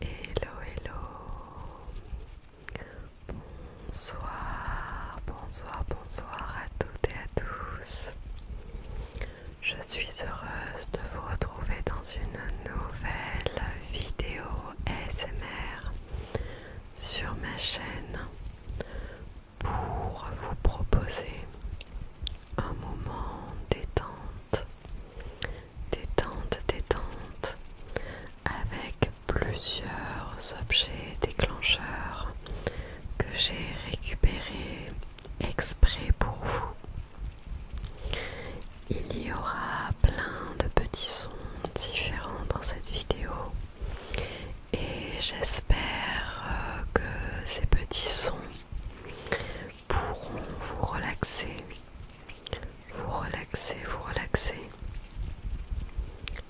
Hello, hello. Bonsoir, bonsoir, bonsoir à toutes et à tous. Je suis heureuse de vous retrouver dans une nouvelle vidéo S.M.R. sur ma chaîne pour vous proposer un moment détente détente, détente, avec plusieurs objets déclencheurs que j'ai récupérés exprès pour vous. Il y aura plein de petits sons différents dans cette vidéo et j'espère euh, que ces petits sons pourront vous relaxer, vous relaxer, vous relaxer,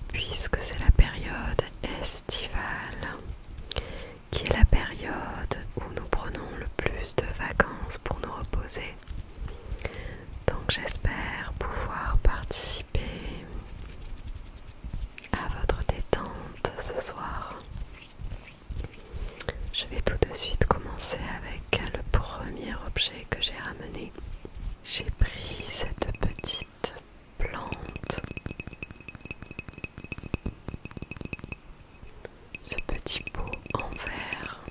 puisque c'est la période estivale qui est la période où nous prenons le plus de vacances pour nous reposer. Donc j'espère pouvoir participer à votre détente ce soir. Je vais tout de suite commencer avec le premier objet que j'ai ramené. J'ai pris cette petite plante. Ce petit pot en verre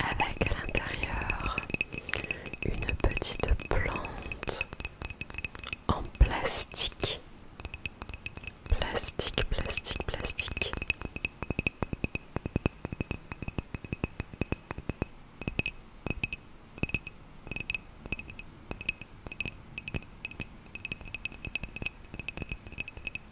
avec à l'intérieur une petite plante en plastique. Plastique, plastique, plastique.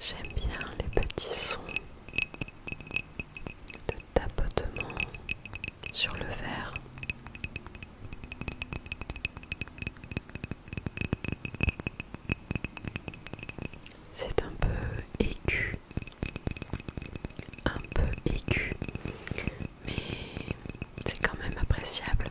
J'aime bien les petits sons de tapotement sur le verre. C'est un peu aigu, un peu aigu, mais c'est quand même appréciable.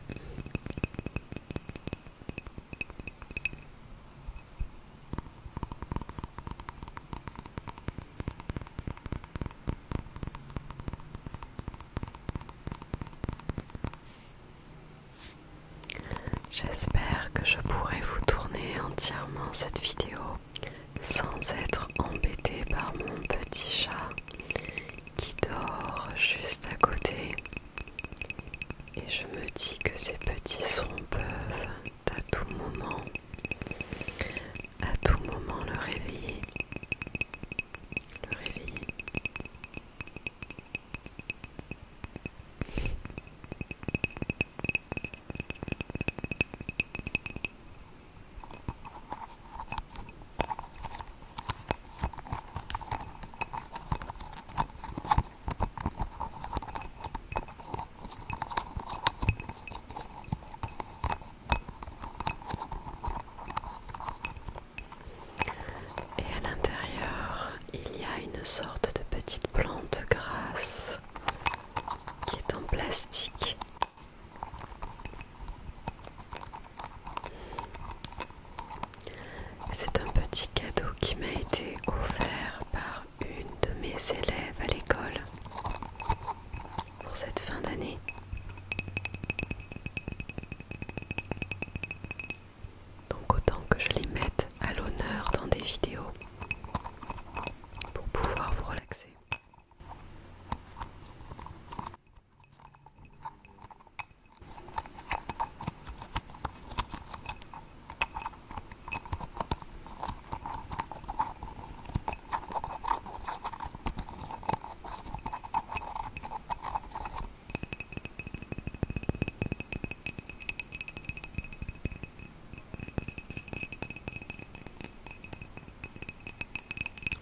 J'espère que je pourrai vous tourner entièrement cette vidéo sans être embêtée par mon petit chat qui dort juste à côté. Et je me dis que ces petits sons peuvent à tout moment, à tout moment le réveiller. Le réveiller. Et à l'intérieur, il y a une sorte de petite plante grasse qui est en plastique. C'est un petit cadeau qui m'a été offert par une de mes élèves à l'école pour cette fin d'année. Donc autant que je les mette à l'honneur dans des vidéos pour pouvoir vous relaxer.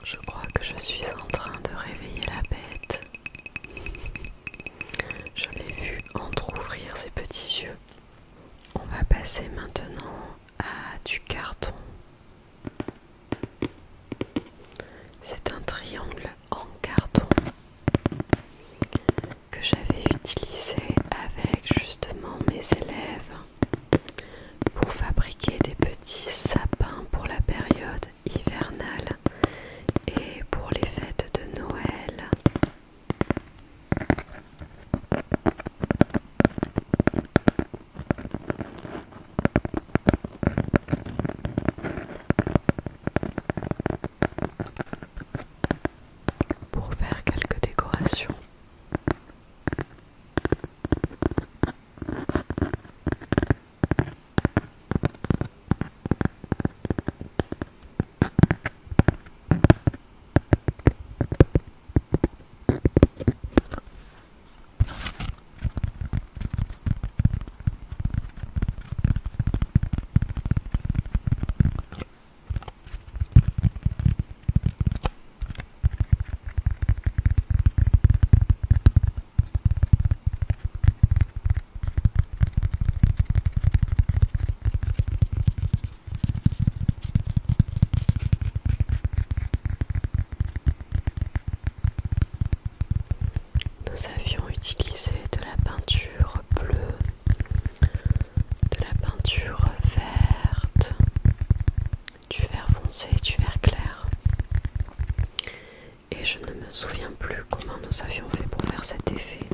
Je crois que je suis en train de réveiller la bête. Je l'ai vu entre-ouvrir ses petits yeux. On va passer maintenant à du carton. C'est un triangle en carton que j'avais utilisé avec justement mes élèves pour fabriquer des petits sapins pour la période hivernale et pour les fêtes de Noël pour faire quelques décorations. Nous avions utilisé de la peinture bleue de la peinture verte, du vert foncé, du vert clair. Et je ne me souviens plus comment nous avions fait pour faire cet effet.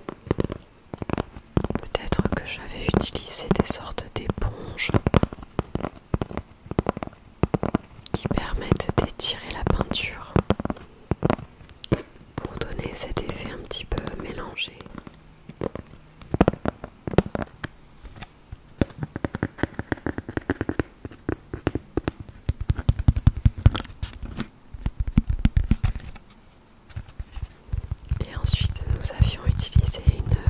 Peut-être que j'avais utilisé des sortes d'éponges qui permettent d'étirer la peinture pour donner cet effet un petit peu mélangé et ensuite, nous avions utilisé une,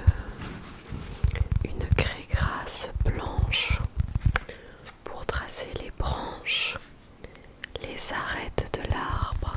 une craie grasse blanche pour tracer les branches les arêtes de l'arbre.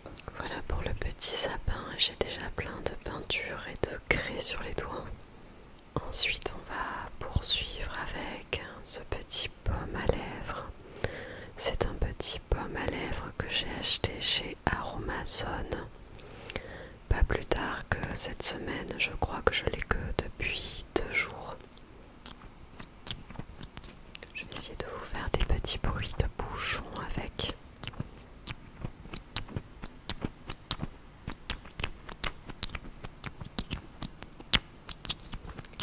Voilà pour le petit sapin, j'ai déjà plein de peinture et de craie sur les doigts. Ensuite, on va poursuivre avec ce petit pomme à lèvres. C'est un petit pomme à lèvres que j'ai acheté chez Aromazone. Pas plus tard que cette semaine, je crois que je l'ai que depuis deux jours. Je vais essayer de vous faire des petits bruits de bouchons avec.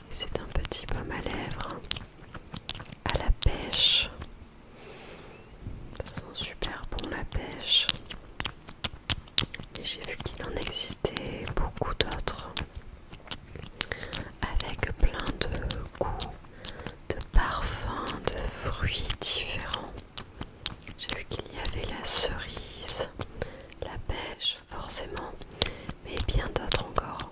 C'est un petit pomme à lèvres à la pêche. Ça sent super bon la pêche. Et j'ai vu qu'il en existait beaucoup d'autres avec plein de goûts, de parfums, de fruits différents. J'ai vu qu'il y avait la cerise, la pêche, forcément, mais bien d'autres encore.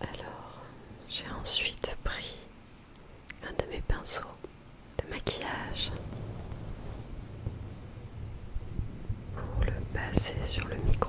Alors, j'ai ensuite pris un de mes pinceaux de maquillage pour le passer sur le micro.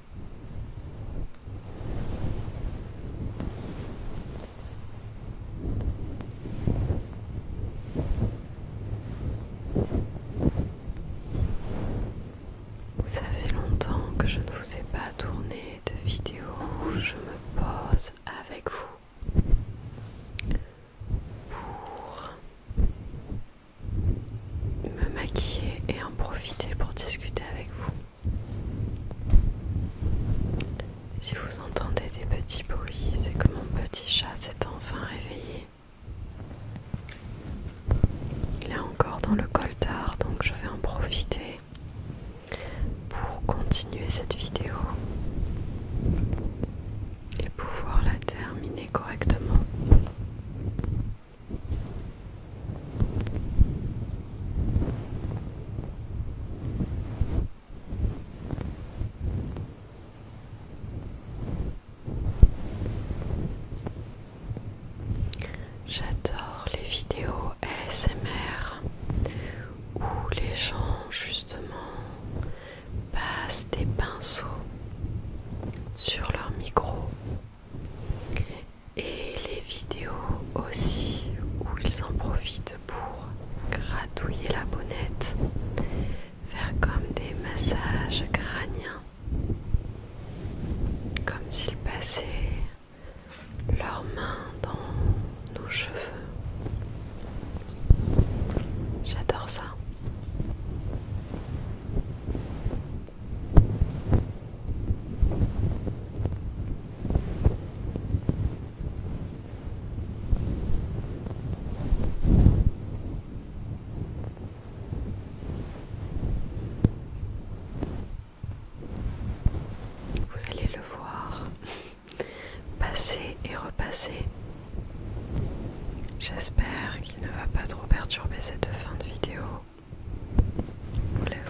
Ça fait longtemps que je ne vous ai pas tourné de vidéo où je me pose avec vous pour me maquiller et en profiter pour discuter avec vous. Si vous entendez des petits bruits, c'est que mon petit chat s'est enfin réveillé. Il est encore dans le coltard, donc je vais en profiter pour continuer cette vidéo et pouvoir la terminer correctement. J'adore les vidéos ASMR où les gens justement passent des pinceaux sur leur micro et les vidéos aussi où ils en profitent pour gratouiller la bonnette, faire comme des massages crâniens, comme s'ils passaient leurs mains dans nos cheveux. J'adore ça. Vous allez le voir passer et repasser. J'espère qu'il ne va pas trop perturber cette fin de vidéo.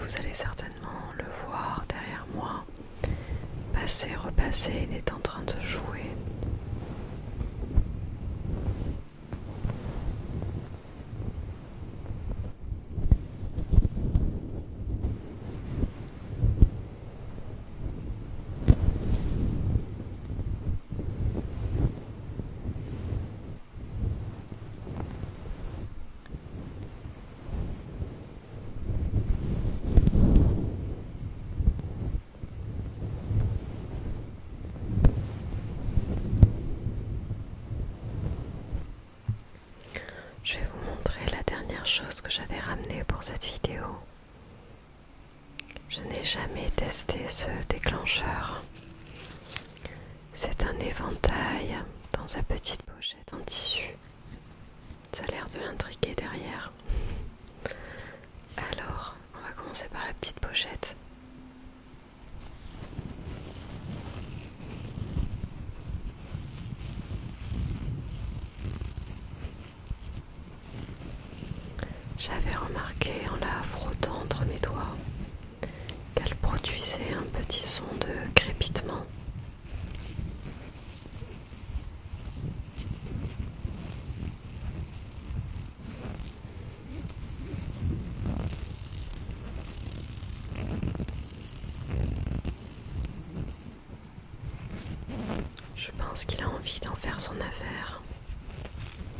Vous allez certainement le voir derrière moi. Passer, repasser, il est en train de jouer. Je vais vous montrer la dernière chose que j'avais ramenée pour cette vidéo. Je n'ai jamais testé ce déclencheur. C'est un éventail dans sa petite pochette en tissu. Ça a l'air de l'intriguer derrière. Alors, on va commencer par la petite pochette. J'avais remarqué en la frottant entre mes doigts qu'elle produisait un petit son de crépitement. Je pense qu'il a envie d'en faire son affaire.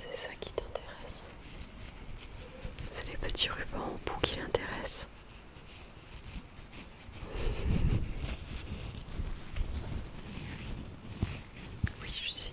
C'est ça qui t'intéresse. C'est les petits rubans en bout qui l'intéressent. Oui, je sais.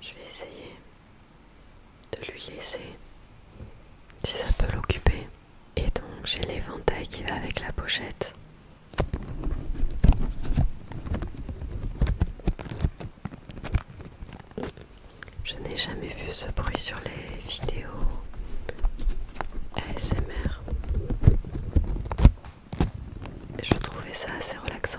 Je vais essayer de lui laisser si ça peut l'occuper. Et donc j'ai l'éventail qui va avec la pochette. Je n'ai jamais vu ce bruit sur les vidéos ASMR. Je trouvais ça assez relaxant.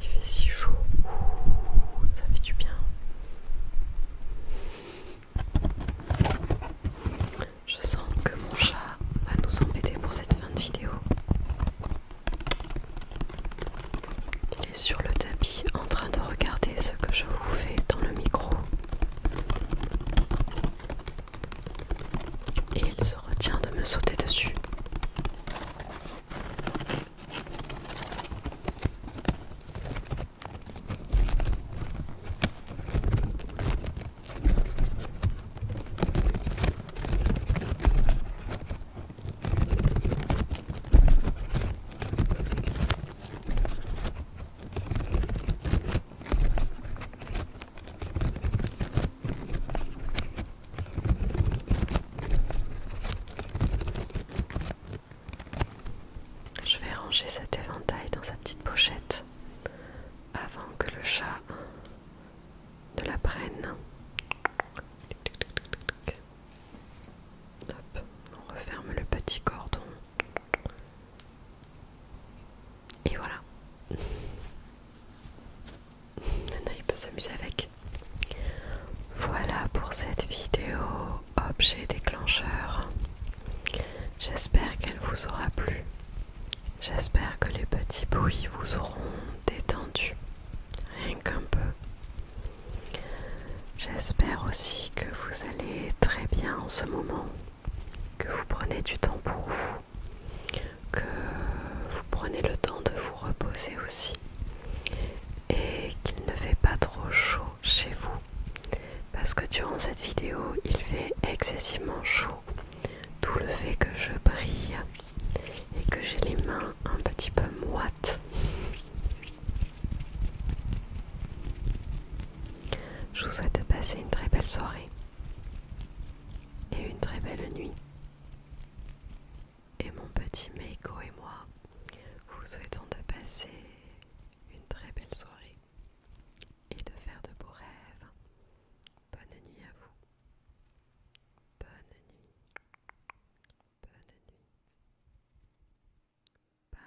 Il fait si chaud, ça fait du bien. Je sens que mon chat va nous embêter pour cette fin de vidéo. Il est sur le tapis en train de regarder ce que je vous fais dans le micro et il se retient de me sauter dessus. Je vais ranger cet éventail dans sa petite pochette avant que le chat ne la prenne. Hop, on referme le petit cordon et voilà. Maintenant il peut s'amuser avec. Voilà pour cette vidéo objet déclencheur. J'espère qu'elle vous aura plu. J'espère que les petits bruits vous auront détendu. Rien qu'un peu. J'espère aussi que vous allez très bien en ce moment. Que vous prenez du temps pour vous que vous prenez le temps de vous reposer aussi et qu'il ne fait pas trop chaud chez vous parce que durant cette vidéo il fait excessivement chaud D'où le fait que je brille et que j'ai les mains un petit peu moites je vous souhaite de passer une très belle soirée et une très belle nuit. Et mon petit Meiko et moi vous souhaitons de passer une très belle soirée et de faire de beaux rêves. Bonne nuit à vous. Bonne nuit. Bonne nuit. Bye.